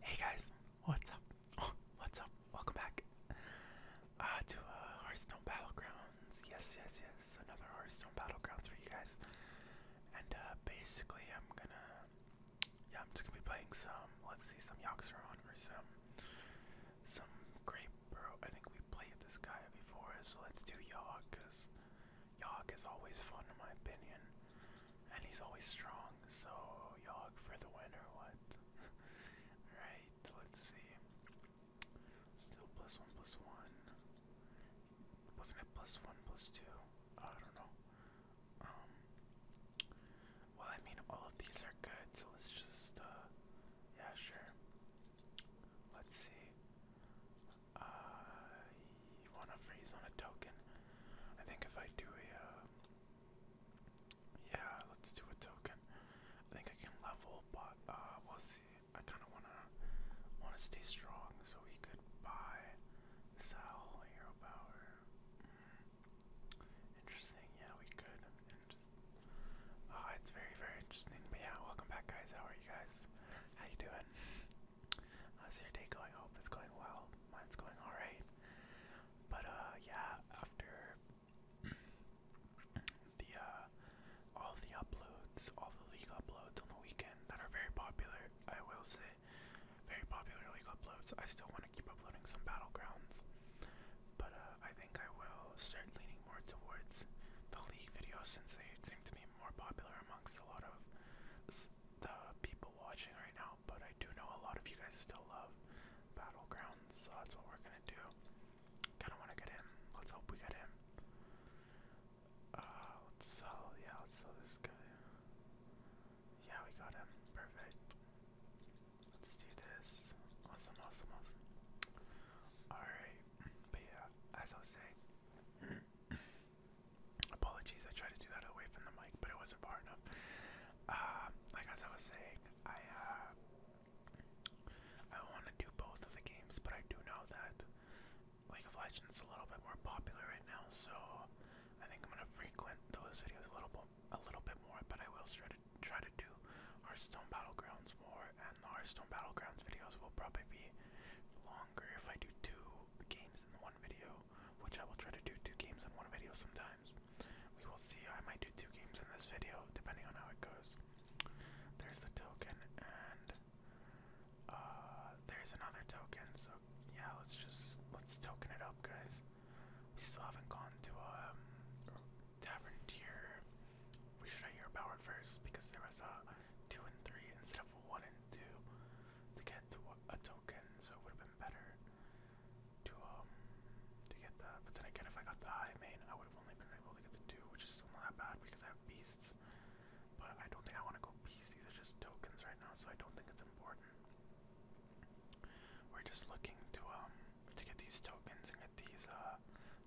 Hey guys, what's up? what's up? Welcome back uh, to uh, Hearthstone Battlegrounds. Yes, yes, yes, another Hearthstone Battlegrounds for you guys. And uh, basically, I'm gonna, yeah, I'm just gonna be playing some. Let's see, some Yoxeron or some, some Great. Bro. I think we played this guy before, so let's do Yogg, cause Yogg is always fun in my opinion and he's always strong. So Yogg for the win or what? Alright, let's see. Still plus one plus one. Wasn't it plus one plus two? I don't know. Um, well I mean all of these are good, so let's just uh, yeah sure. Let's see. Uh, you want to freeze on a token? I think if I do a, uh, yeah, let's do a token. I think I can level, but uh, we'll see. I kind of wanna want to stay strong, so we could buy, sell, hero power. Hmm. Interesting. Yeah, we could. Inter uh, it's very, very interesting. But yeah, welcome back, guys. How are you guys? How you doing? How's your day going? I hope it's going well. Mine's going alright. But uh yeah, after the uh all the uploads, all the league uploads on the weekend that are very popular, I will say very popular league uploads. I still want to keep uploading some battlegrounds. But uh I think I will start leaning more towards the league videos since they seem to be more popular amongst a lot of the people watching right now but I do know a lot of you guys still love Battlegrounds, so that's what we're gonna do. Kinda wanna get him. Let's hope we get him. Uh, let's sell, yeah, let's sell this guy. Yeah, we got him. Perfect. Let's do this. Awesome, awesome, awesome. Alright, but yeah, as I was saying. Apologies, I tried to do that away from the mic, but it wasn't far enough. Um, like as I was saying, I uh, I want to do both of the games, but I do know that League of Legends is a little bit more popular right now, so I think I'm gonna frequent those videos a little bit, a little bit more. But I will try to try to do Hearthstone Battlegrounds more, and the Hearthstone Battlegrounds videos will probably be longer if I do two games one video, which I will try to do two games in one video sometimes. We will see. I might do two games in this video, depending on how it goes. There's the token, and uh, there's another token. So yeah, let's just let's token it up, guys. We still haven't gone to a um, tavern here. We should have your powered first because there was a uh, two and three instead of one and two to get to a token, so it would have been better to um to get that. But then again, if I got the high main, I would have only been able to get the two, which is still not that bad because I have beasts. But I don't think I want to go beasts. These are just tokens right now, so I don't think it's important. We're just looking to um to get these tokens and get these uh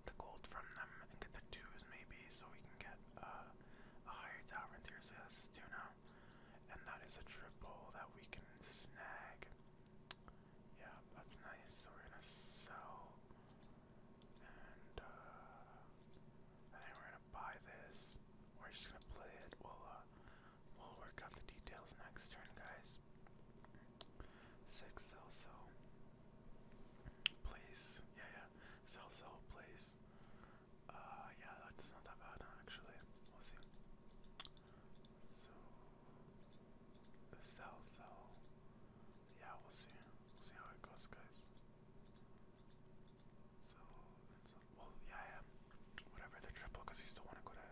the gold from them and get the twos maybe so we can get uh a higher tower tier. So this is two now. And that is a triple that we can snag. Yeah, that's nice. So we're gonna sell. And uh, I think we're gonna buy this. We're just gonna play it. We'll uh, we'll work out the details next turn, guys. Six sell sell. Please. Yeah yeah. Sell sell please. Uh, yeah, that's not that bad actually. We'll see. So, sell, sell. Yeah, we'll see. We'll see how it goes, guys. So, so well, yeah, Whatever the triple, we still want to go to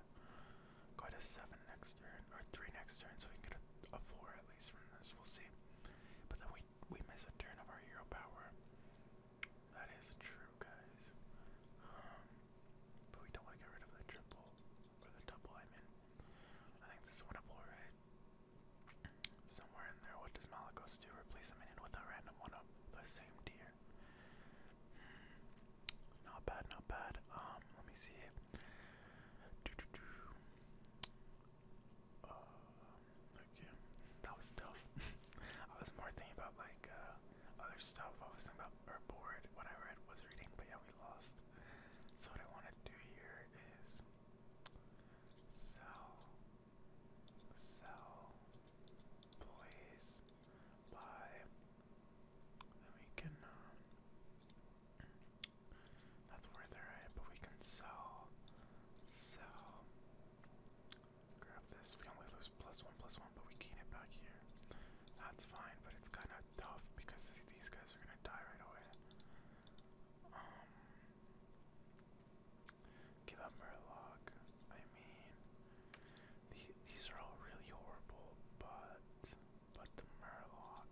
go to seven next turn or three next turn, so we can get a, a four at least from this. We'll see. But then we we miss a turn of our hero power. That is true, guys. Um, but we don't want to get rid of the triple or the double. I mean, I think this is winnable, right? Somewhere in there, what does Malagos do? Replace a minion with a random one of the same tier. Hmm, not bad, not bad. Um, let me see. Doo -doo -doo. Um, uh, okay, that was tough. I was more thinking about like uh, other stuff. I was thinking about or bored when I read was reading, but yeah, we lost. So what I want to do here is sell, sell, place, buy. Then we can. Um, that's where they're at, but we can sell, sell, Grab this. We only lose plus one, plus one, but we gain it back here. That's fine, but it's kind of tough because these guys are gonna die right away. Um, give up Murloc. I mean, the, these are all really horrible, but but the Murloc.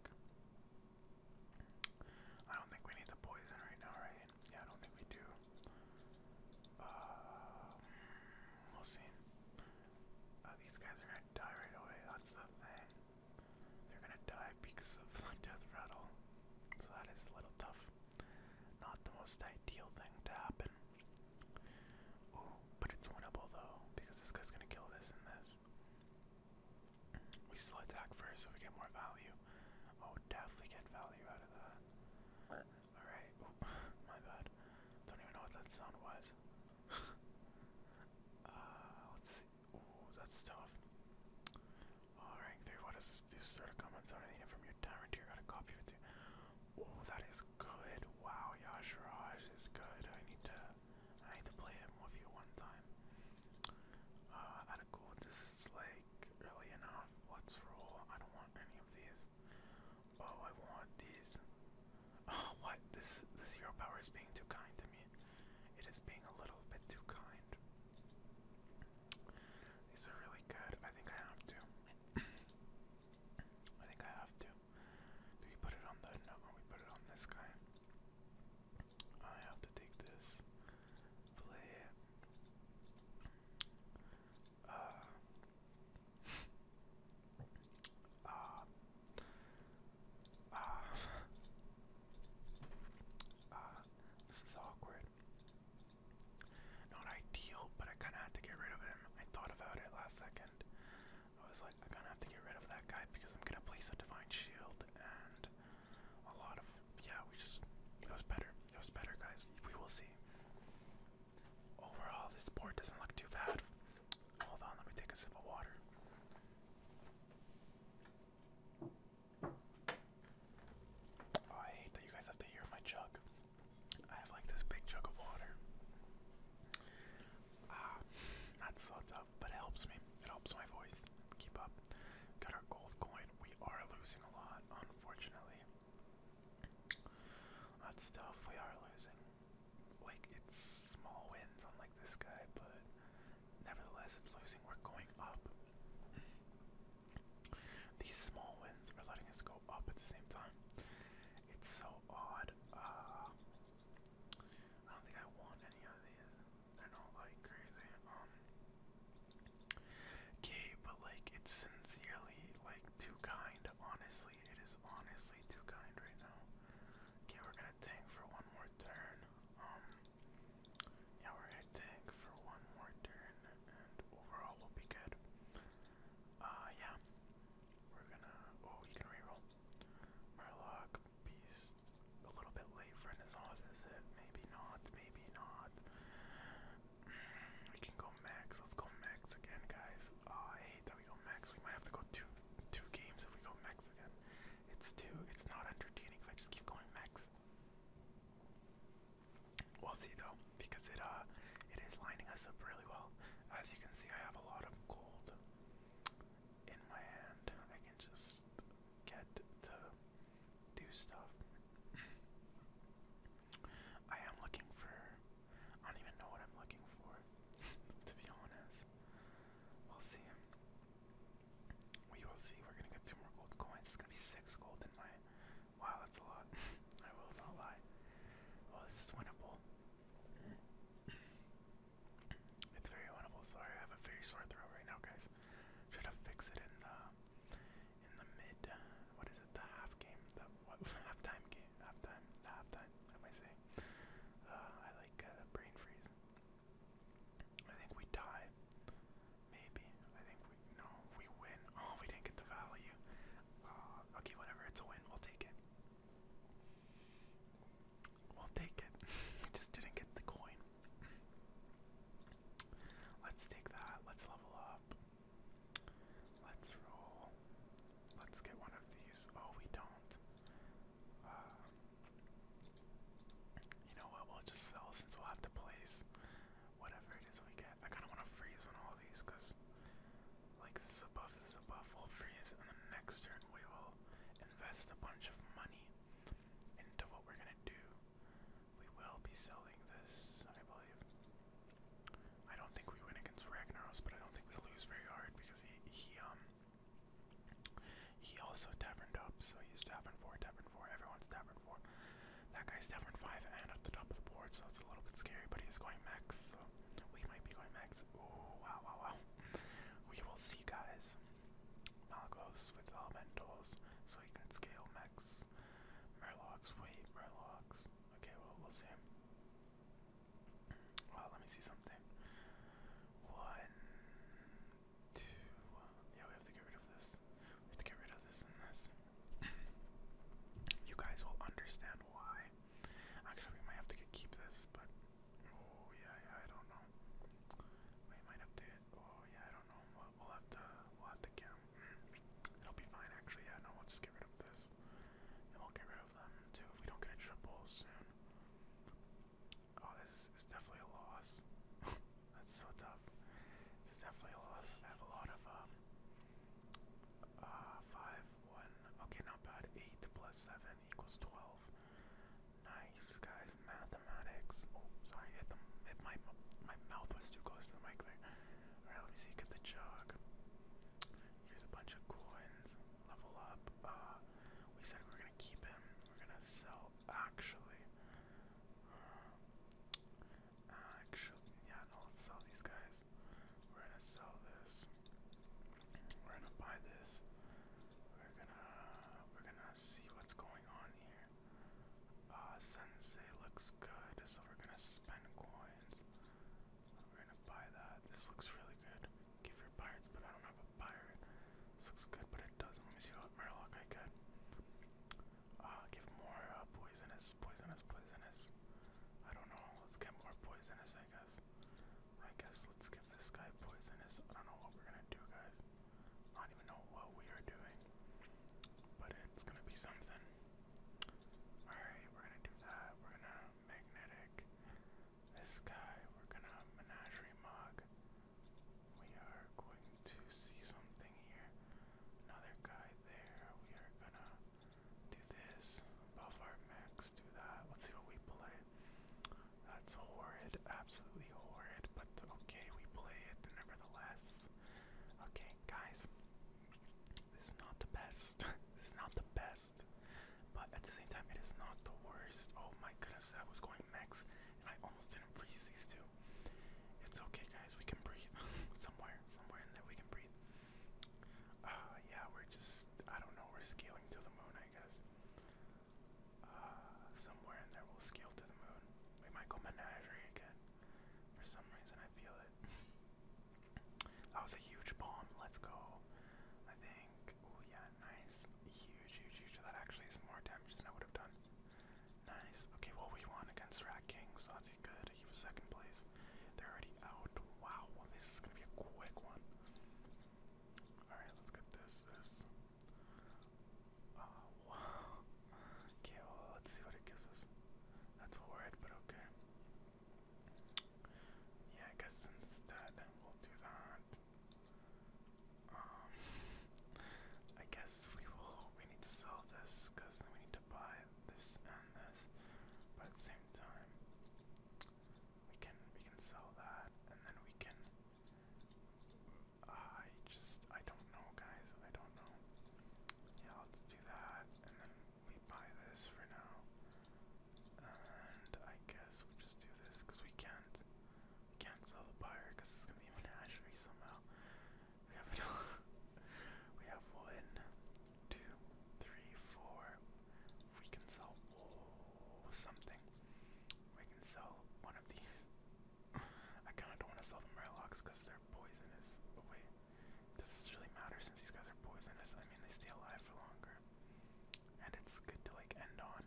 I don't think we need the poison right now, right? Yeah, I don't think we do. Um, we'll see. Uh, these guys are gonna die right away, that's the thing. They're gonna die because of death rattle. So that is a little tough. Not the most ideal thing to happen. Ooh, but it's winnable though, because this guy's gonna kill this and this. We still attack first so we get more value. Oh, definitely get value out of that. Alright, oh, my bad. Don't even know what that sound was. uh, let's see. Ooh, that's tough. Uh, 3, what this do? Sort of comments on anything from your tyrant tier. Got a copy of it too. Oh, that is good. Wow, Yash is good. I need to I need to play him with you one time. Uh, at a cool, this is like early enough. Let's roll. I don't want any of these. Oh, I want these. Oh, what? This this hero power is being too kind to me. It is being a little bit too kind. These are really good. I think I have to. I think I have to. Do we put it on the no? We put it on this guy. I have to take this. Play uh, uh, uh, uh, this is awkward. Not ideal, but I kind of had to get rid of him. I thought about it last second. I was like, I kind of have to get rid of that guy because I'm gonna place a divine shield and a lot of yeah. We just it was better. It was better, guys. We will see. Overall, this port doesn't look too bad. Hold on, let me take a sip of water. Oh, I hate that you guys have to hear my jug. I have like this big jug of water. Ah, not so tough, but it helps me. It helps my voice. Keep up. Got our gold coin. We are losing a lot, unfortunately. That stuff We are losing. Like, it's small wins on, like, this guy, but nevertheless, it's losing. We're going up. These small wins are letting us go up at the same time. It's so odd. Uh, I don't think I want any of these. They're not like crazy. Um, okay, but like it's sincerely like too kind, honestly. It is honestly too kind right now. Okay, we're gonna tank for one more turn. Um, yeah, we're gonna tank for one more turn, and overall will be good. Uh, yeah, we're gonna. Oh, you can reroll. Murloc, Beast. A little bit late for Renaissance, is it? Maybe not. Maybe not. We can go max. Let's go max again, guys. Oh, I hate that we go max. We might have to go two two games if we go max again. It's too it's not entertaining if I just keep going max. We'll see though, because it uh it is lining us up really well. As you can see I have a lot of gold in my hand. I can just get to do stuff. I am looking for. I don't even know what I'm looking for, to be honest. We'll see. We will see. We're gonna get two more gold coins. It's gonna be six gold in my. Wow, that's a lot. I will not lie. Well, this is winnable. it's very winnable. Sorry, I have a very sore throat right now, guys. Trying to fix it in the in the mid, uh, what is it, the half game, the what, halftime game, halftime, the halftime, what am I saying? Uh, I like uh, brain freeze. I think we die. maybe, I think we, no, we win, oh, we didn't get the value, uh, okay, whatever, it's a win, we'll take it. We'll take it. just didn't get the coin. Let's take that. Let's level up. Let's roll. Let's get one of these. Oh, we don't. Uh, you know what? We'll just sell since we'll have to place whatever it is we get. I kind of want to freeze on all these because, like, this is a buff, this is a buff. We'll freeze, and then next turn we will invest a bunch of money into what we're going to do. We will be selling this, I believe. I don't think we win against Ragnaros, but I don't think we lose very hard because he he um he also taverned up, so he's tavern four, tavern four, everyone's tavern four. That guy's tavern five and at the top of the board, so it's a little bit scary, but he's going max, so we might be going max. Oh wow wow wow. We will see guys. Malagos with elementals, so he can scale max Murlocs. wait, Murlocs. Okay, well, we'll see. Well, let me see something. One, two, yeah, we have to get rid of this. We have to get rid of this and this. you guys will understand why. Actually, we might have to keep this, but oh yeah, yeah, I don't know. We might have to. Oh yeah, I don't know. We'll, have to. We'll have to get It'll be fine, actually. Yeah, no, we'll just get rid of this. And we'll get rid of them, too, if we don't get a triple soon. Oh, this is definitely a loss. That's so tough. This definitely a loss. I have a lot of, um, uh, 5, 1, okay, not bad. 8 plus 7 equals 12. Nice, guys. Mathematics. Oh, sorry, hit, the, hit my, my mouth was too close to the mic there let me see, get the jug. Here's a bunch of coins. Level up. Uh, we said we were gonna keep him. We're gonna sell, actually. Uh, actually, yeah, no, let's sell these guys. We're gonna sell this. We're gonna buy this. We're gonna, we're gonna see what's going on here. Uh, Sensei looks good, so we're gonna spend coins. We're gonna buy that. This looks really good. Give your pirates, but I don't have a pirate. This looks good, but it doesn't. Let me see what I get. Uh, give more uh, poisonous, poisonous, poisonous. I don't know. Let's get more poisonous, I guess. I guess let's give this guy poisonous. I don't know what we're gonna do, guys. not even know what we are doing. But it's gonna be something. Alright, we're gonna do that. We're gonna magnetic this guy. We're gonna menagerie mug. We are going to see something here. Another guy there. We are gonna do this. Buff our max. Do that. Let's see what we play. That's horrid. Absolutely horrid. But okay, we play it nevertheless. Okay, guys. This is not the best. this is not the best. But at the same time, it is not the worst. Oh my goodness, I was going max and I almost didn't freeze these two. It's okay, guys, we can breathe. somewhere, somewhere in there, we can breathe. Uh, yeah, we're just, I don't know, we're scaling to the moon, I guess. Uh, somewhere in there, we'll scale to the moon. We might go menagerie again. For some reason, I feel it. That was a huge bomb. Let's go. I think. Oh, yeah, nice. Huge, huge, huge. That actually is more damage than I would have done. Nice. Okay, well, we won against Rat King, so that's good. He was second place. They're already out. Wow, well, this is going to be a quick one. Alright, let's get this. This. Oh, wow. Okay, well, let's see what it gives us. That's horrid, but okay. Yeah, I guess instead we'll do that. Um, I guess we will. We need to sell this because we need to buy this and this. But at the same time, we can we can sell that, and then we can. I just I don't know, guys. I don't know. Yeah, let's do that, we buy this for now. And I guess we just do this because we can't can't sell the buyer because it's gonna be a menagerie somehow. We have we have one, two, three, four. we can sell oh, something, we can sell one of these. I kind of don't want to sell the murlocs because they're poisonous. Oh, wait, does this really matter since these guys are poisonous? I mean, they stay alive for longer. And it's good to, like, end on.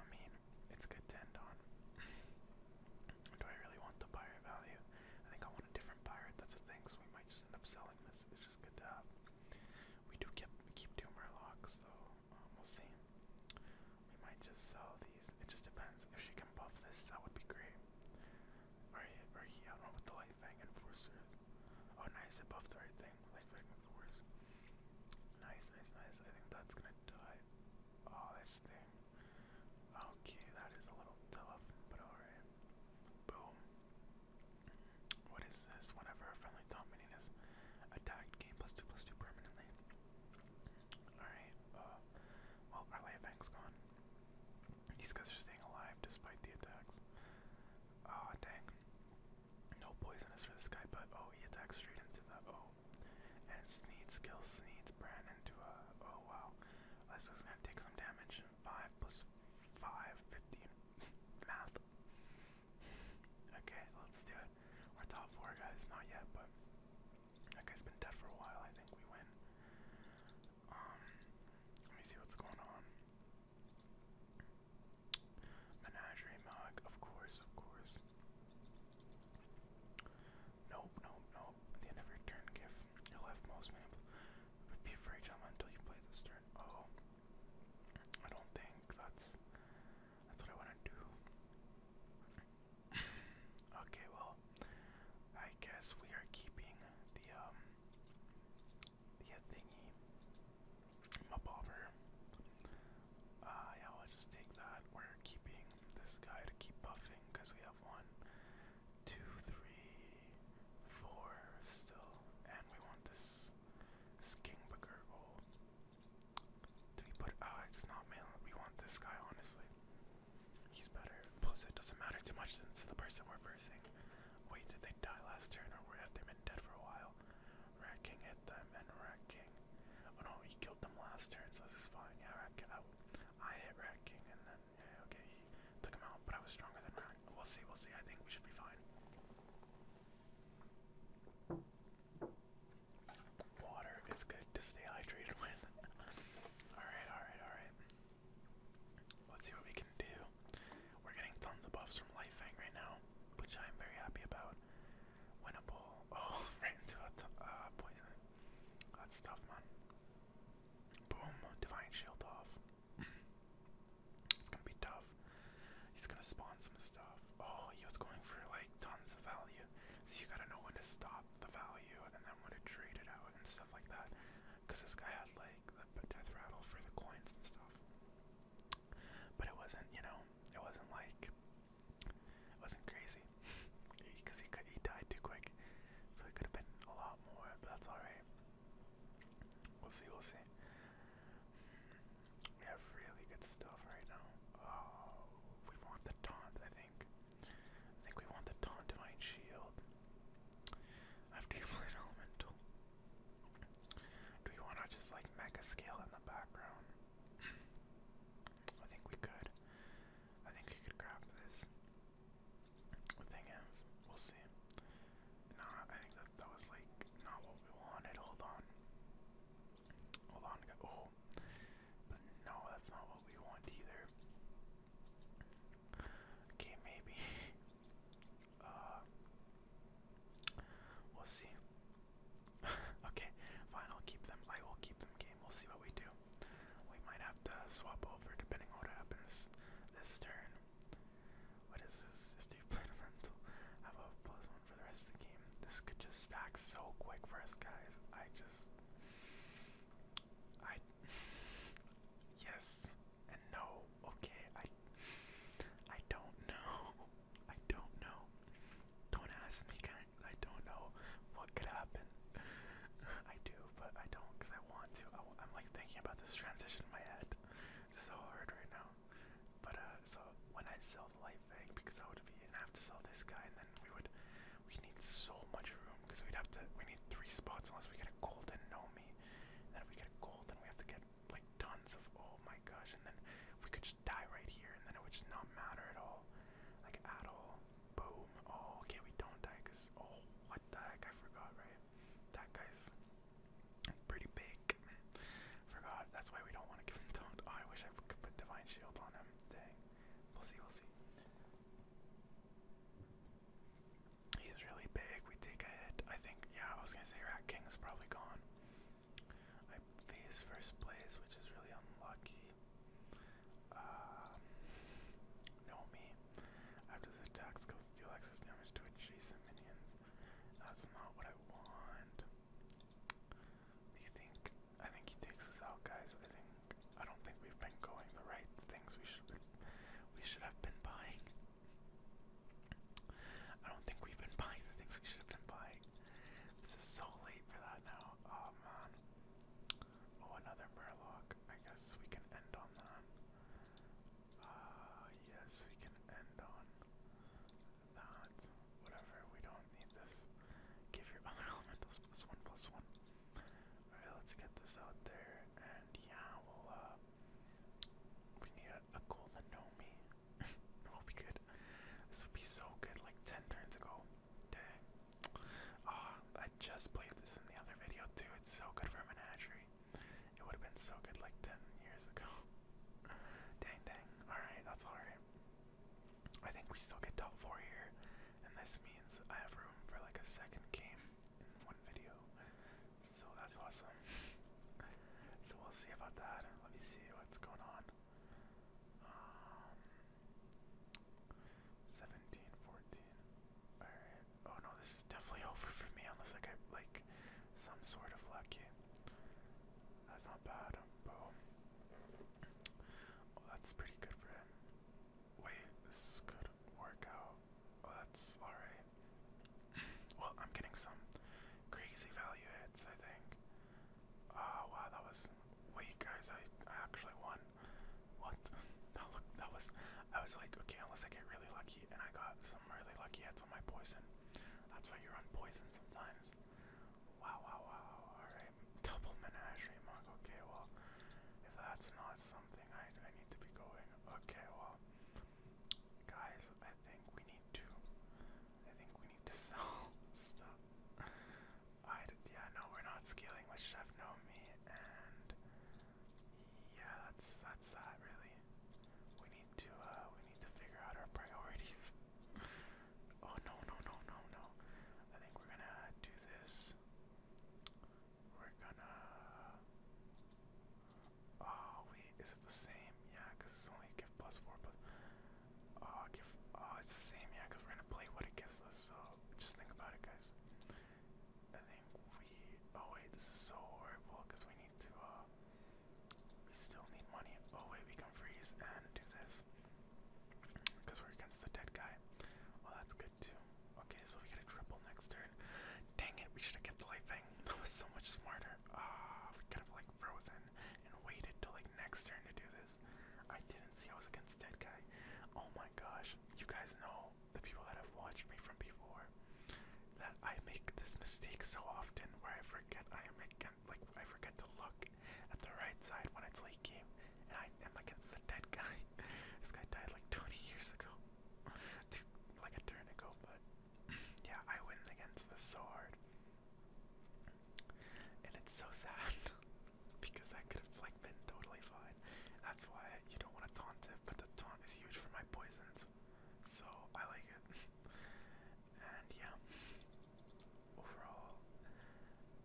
I mean, it's good to end on. Do I really want the pirate value? I think I want a different pirate, that's a thing, so we might just end up selling this. It's just good to have. We do keep, we keep two Murlocs, though. Um, we'll see. We might just sell these. It just depends. If she can buff this, that would be great. Or he, I don't know what the light Light Enforcer. Oh, nice, it the right thing. Light Fang Enforcer. Nice, nice, nice. I think that's gonna die. Oh, this thing. Okay, that is a little tough, but alright. Boom. What is this? Whenever a friendly top attacked, gain plus two plus two permanently. Alright, uh, well, our light bank gone. These guys are staying alive despite the attacks. Ah, oh, dang. No poison is for this guy, but oh, he attacks straight into the oh. And Sneeds kills Sneeds, brand into a oh wow. This is gonna take some damage. Five plus five, fifteen. Math. Okay, let's do it. We're top four guys, not yet, but that guy's been dead for a while. I think we win. Um, let me see what's going on. Menagerie mug, of course, of course. Nope, nope, nope. At the end of your turn, give your left most minute. Repeat for until you play this turn. Oh, I don't think that's that's what I want to do. okay, well, I guess we are keeping the um the thingy. Mobber. Uh yeah, we'll just take that. We're keeping this guy to keep buffing because we have one, two, three, four still. And we want this this King Bagurgle. Do put oh it's not male we want this guy honestly. He's better. Plus, it doesn't matter too much since it's the person we're versing. Wait, did they die last turn, or have they been dead for a while? Rat King hit them, and Rat King. Oh no, he killed them last turn, so this is fine. Yeah, Rat King. I, I hit Rat and then yeah, okay, he took him out. But I was stronger than Rat. We'll see. We'll see. I think we should be fine. Water is good to stay hydrated with. alright, alright, alright. Let's see what we can do. We're getting tons of buffs from Lifefang right now, which I'm very happy about. Winnable. Oh, right into a uh, poison. That's tough, man. Boom. Divine Shield off. it's gonna be tough. He's gonna spawn some stuff. Oh, he was going for like tons of value. So you gotta know when to stop the value and then when to trade it out and stuff like that. Because this guy had like playing death rattle for the coins and stuff. But it wasn't, you know, it wasn't like wasn't crazy because he, he died too quick, so it could have been a lot more. But that's all right. We'll see. We'll see. We have really good stuff right now. Oh, we want the taunt. I think. I think we want the taunt to shield. After you play elemental. Do we want to just like mega scale in the background? I think we could. I think we could grab this. The thing is, we'll see. No, I think that that was like not what we wanted. Hold on. Hold on. Oh, but no, that's not what we want either. Okay, maybe. uh, we'll see. okay, fine. I'll keep them. I will keep them. Game. We'll see what we do. We might have to swap over depending on what happens this turn. What is this? If you play elemental, have a plus one for the rest of the game. This could just stack so quick for us guys. I just, I yes and no. Okay, I I don't know. I don't know. Don't ask me, guys. I don't know what could happen. I do, but I don't because I want to. I, am like thinking about this transition in my head. It's so hard right now. But uh, so when I sell the life bag, because I would be and have to sell this guy, and then we would we need so much room because we'd have to we need three spots unless we get a golden gnome then if we get gold, then we have to get like tons of oh my gosh. And then we could just die right here, and then it would just not matter at all, like at all. Boom. Oh, okay, we don't die because oh, what the heck? I forgot, right? That guy's pretty big. Forgot. That's why we don't want to give him taunt. Oh, I wish I could put divine shield on him. Dang. We'll see. We'll see. He's really big. We take a hit. I think, yeah, I was going to say Rat King is probably gone. I face first place, which is really unlucky. Uh, no, me. After this attack, goes deal excess damage to adjacent minions. That's not what I want. Do you think? I think he takes us out, guys. I think. I don't think we've been going the right things we should have been we should have been buying. I don't think we've been buying the things we should have been buying. This is so late for that now. Oh man. Oh, another murloc. I guess we can end on that. Uh, yes, we can end on that. Whatever, we don't need this. Give your other elementals plus one plus one. Alright, let's get this out there. And yeah, we'll, uh, we need a, golden Nomi. That'll be good. This would be so good like 10 turns ago. Dang. Ah, I just played this in the other video too. It's so good for a It would have been so good like 10 years ago. dang, dang. Alright, that's alright. I think we still get top 4 here. And this means I have room for like a second game one video. So that's awesome. so we'll see about that. Let me see what's going on. Um, Alright. Oh no, this is definitely over for me unless I like some sort of lucky. That's not bad. Oh, that's pretty good for him. Wait, this is good workout. that's alright. well, I'm getting some crazy value hits, I think. Oh, wow, that was. Wait, guys, I, I actually won. What? that, look, that was. I was like, okay, unless I get really lucky, and I got some really lucky hits on my poison. That's why you run poison sometimes. Wow, wow, wow. Alright. Double menagerie mug. Okay, well, if that's not something I, I need to be going Okay, well, guys, I think we need to. I think we need to sell stuff. I yeah, no, we're not scaling with Chef Nomi, and yeah, that's that's that really. We need to uh, we need to figure out our priorities. oh no no no no no! I think we're gonna do this. We're gonna. Oh wait, is it the same? Yeah, it's only give plus four plus. Oh, give. Oh, it's the same. Yeah, we're gonna play what it gives us. So just think about it, guys. I think we. Oh wait, this is so horrible because we need to. Uh, we still need money. Oh wait, we can freeze and do this we're against the dead guy. Well, that's Okay, so we get a triple next turn. Dang it, we should have kept the light thing. That was so much smarter. Ah, we kind of like frozen and waited till like next turn to do this. I didn't see I was against Dead Guy. Oh my gosh, you guys know the people that have watched me from before that I make this mistake so often where I forget I am again like I forget to look at the right side when I late game and I am against the dead guy. this guy died like 20 years ago like a turn ago, but yeah, I win against this so And it's so sad because that could have like been totally fine. That's why you don't want to taunt it, but the taunt is huge for my poisons, so I like it. and yeah, overall,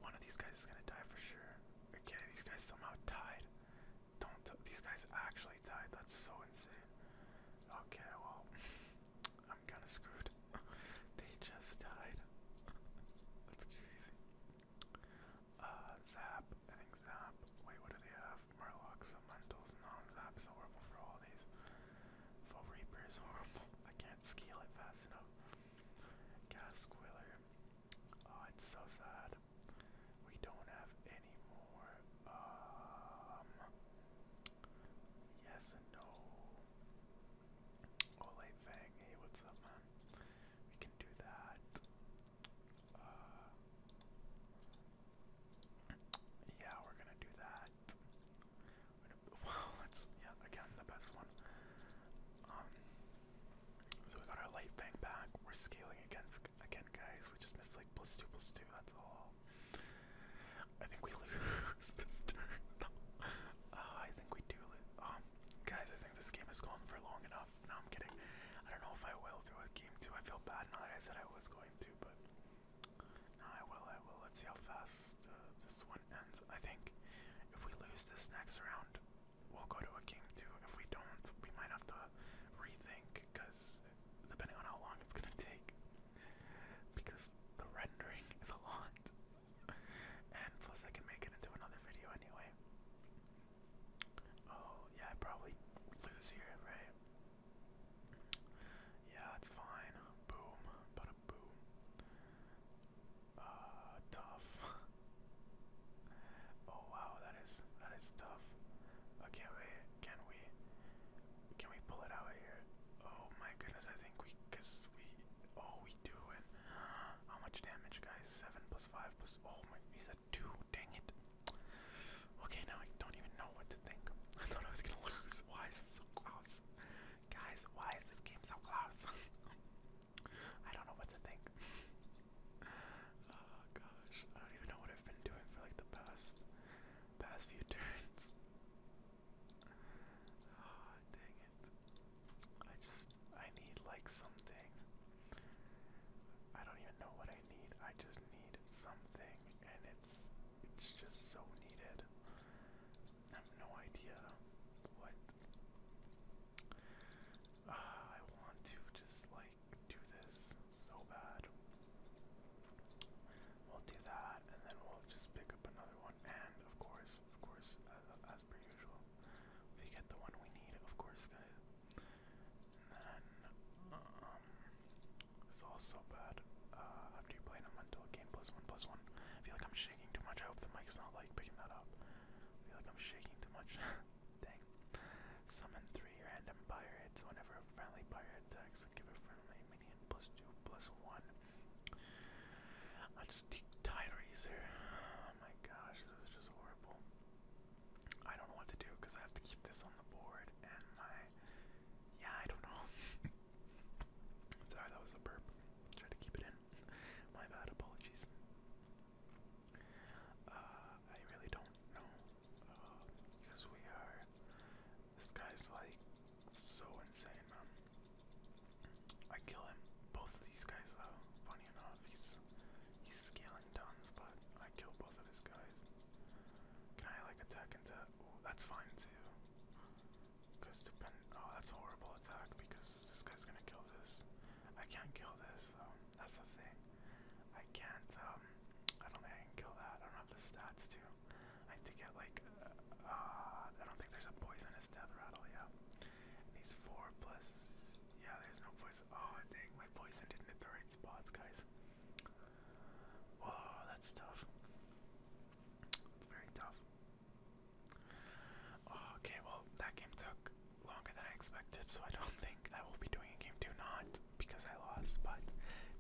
one of these guys is gonna die for sure. Okay, these guys somehow tied. Don't these guys actually died. That's so insane. Okay, well, I'm kind of screwed. they just died. That's crazy. Uh, Zap. I think Zap. Wait, what do they have? Murlocs, Elementals, non Zap is horrible for all these. Full is horrible. I can't scale it fast enough. Gas Oh, it's so sad. We don't have any more. Um, yes and no. Olay Fang, hey, what's up, man? We can do that. Uh, yeah, we're gonna do that. Wow, that's yeah again the best one. Um, so we got our light bank back. We're scaling against again, guys. We just missed like plus two, plus two. That's all. I think we lose this uh, I think we do. Um, guys, I think this game is going for long enough. No, I'm kidding. I don't know if I will do a game two. I feel bad now that I said I was going to, but no, I will. I will. Let's see how fast uh, this one ends. I think if we lose this next round, we'll go to a game too. If we don't, we might have to rethink because depending on how long it's gonna take, because the rendering is a lot, and plus I can make it into another video anyway. Oh yeah, I probably lose here, right? Yeah, it's fine. Boom, but a boom. Uh, tough. Oh wow, that is that is tough. Oh, can we? Can we? Can we pull it out here? Oh my goodness, I think we, cause we, oh we do it. How much damage, guys? Seven plus five plus. Oh my, he's a two. Dang it. Okay, now I don't even know what to think. I thought I was gonna lose. Why is it so close, guys? Why is this game so close? I don't know what to think. Oh gosh, I don't even know what I've been doing for like the past past few turns. Oh dang it. I just I need like something. I don't even know what I need. I just need something and it's it's just so needed. I have no idea what uh, I want to just like do this so bad. We'll do that, and then we'll just pick up another one. And of course, of course, as, per usual, we get the one we need. Of course, guys. And then um, it's all so bad. Uh, after you play an until game plus one plus one, I feel like I'm shaking too much. I hope the mic's not like picking that up. I feel like I'm shaking too much. Dang Summon three random pirates. Whenever a friendly pirate attacks, give a friendly minion plus two plus one. I just need Tide Racer. Oh my gosh, this is just horrible. I don't know what to do because I have to keep this on the board and my. Yeah, I don't know. Sorry, that was a burp. Try to keep it in. My bad, apologies. Uh, I really don't know, uh, because we are. This guy's like so insane, man. I kill him. Both of these guys, though. Funny enough, he's he's scaling tons, but I kill both of his guys. Can I like attack into? that's fine too. Cause depend. Oh, that's horrible attack because this guy's gonna kill this. I can't kill this though. That's the thing. I can't, um, I don't think I can kill that. I don't have the stats to. I have to get like, uh, I don't think there's a poisonous death rattle, yeah. And these four plus, yeah, there's no poison. Oh, dang, my poison didn't hit the right spots, guys. Whoa, that's tough. It's very tough. okay, well, that game took longer than I expected, so I don't think I will be doing a game two, not because I lost, but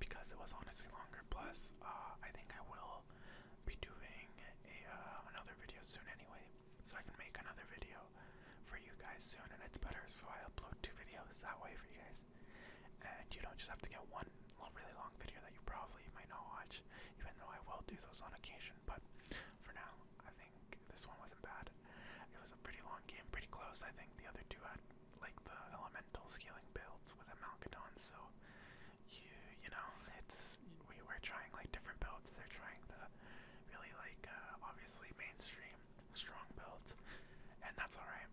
because it was honestly longer. Plus, uh, I think I will be doing a, uh, another video soon anyway, so I can make another video for you guys soon, and it's better, so I upload two videos that way for you guys. And you don't just have to get one really long video that you probably might not watch, even though I will do those on occasion, but for now, I think this one wasn't bad. It was a pretty long game, pretty close. I think the other two had like the elemental scaling builds with a Malcadon, so you you know it's we were trying like different builds. They're trying the really like uh, obviously mainstream strong builds, and that's all right.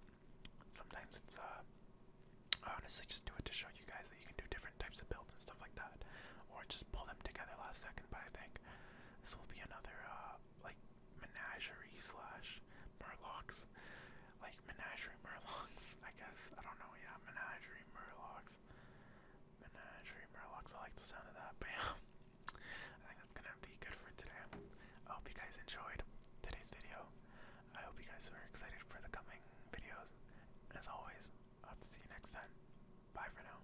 Sometimes it's uh honestly just do it to show you guys that you can do different types of builds and stuff like that, or just pull them together last second. But I think this will be another uh, like menagerie slash murlocs, like menagerie murlocs. I guess I don't know. Yeah, menagerie murlocs, menagerie murlocs. I like the sound of that. Bam. I think that's gonna be good for today. I hope you guys enjoyed today's video. I hope you guys are excited for the coming videos. as always, I will see you next time. Bye for now.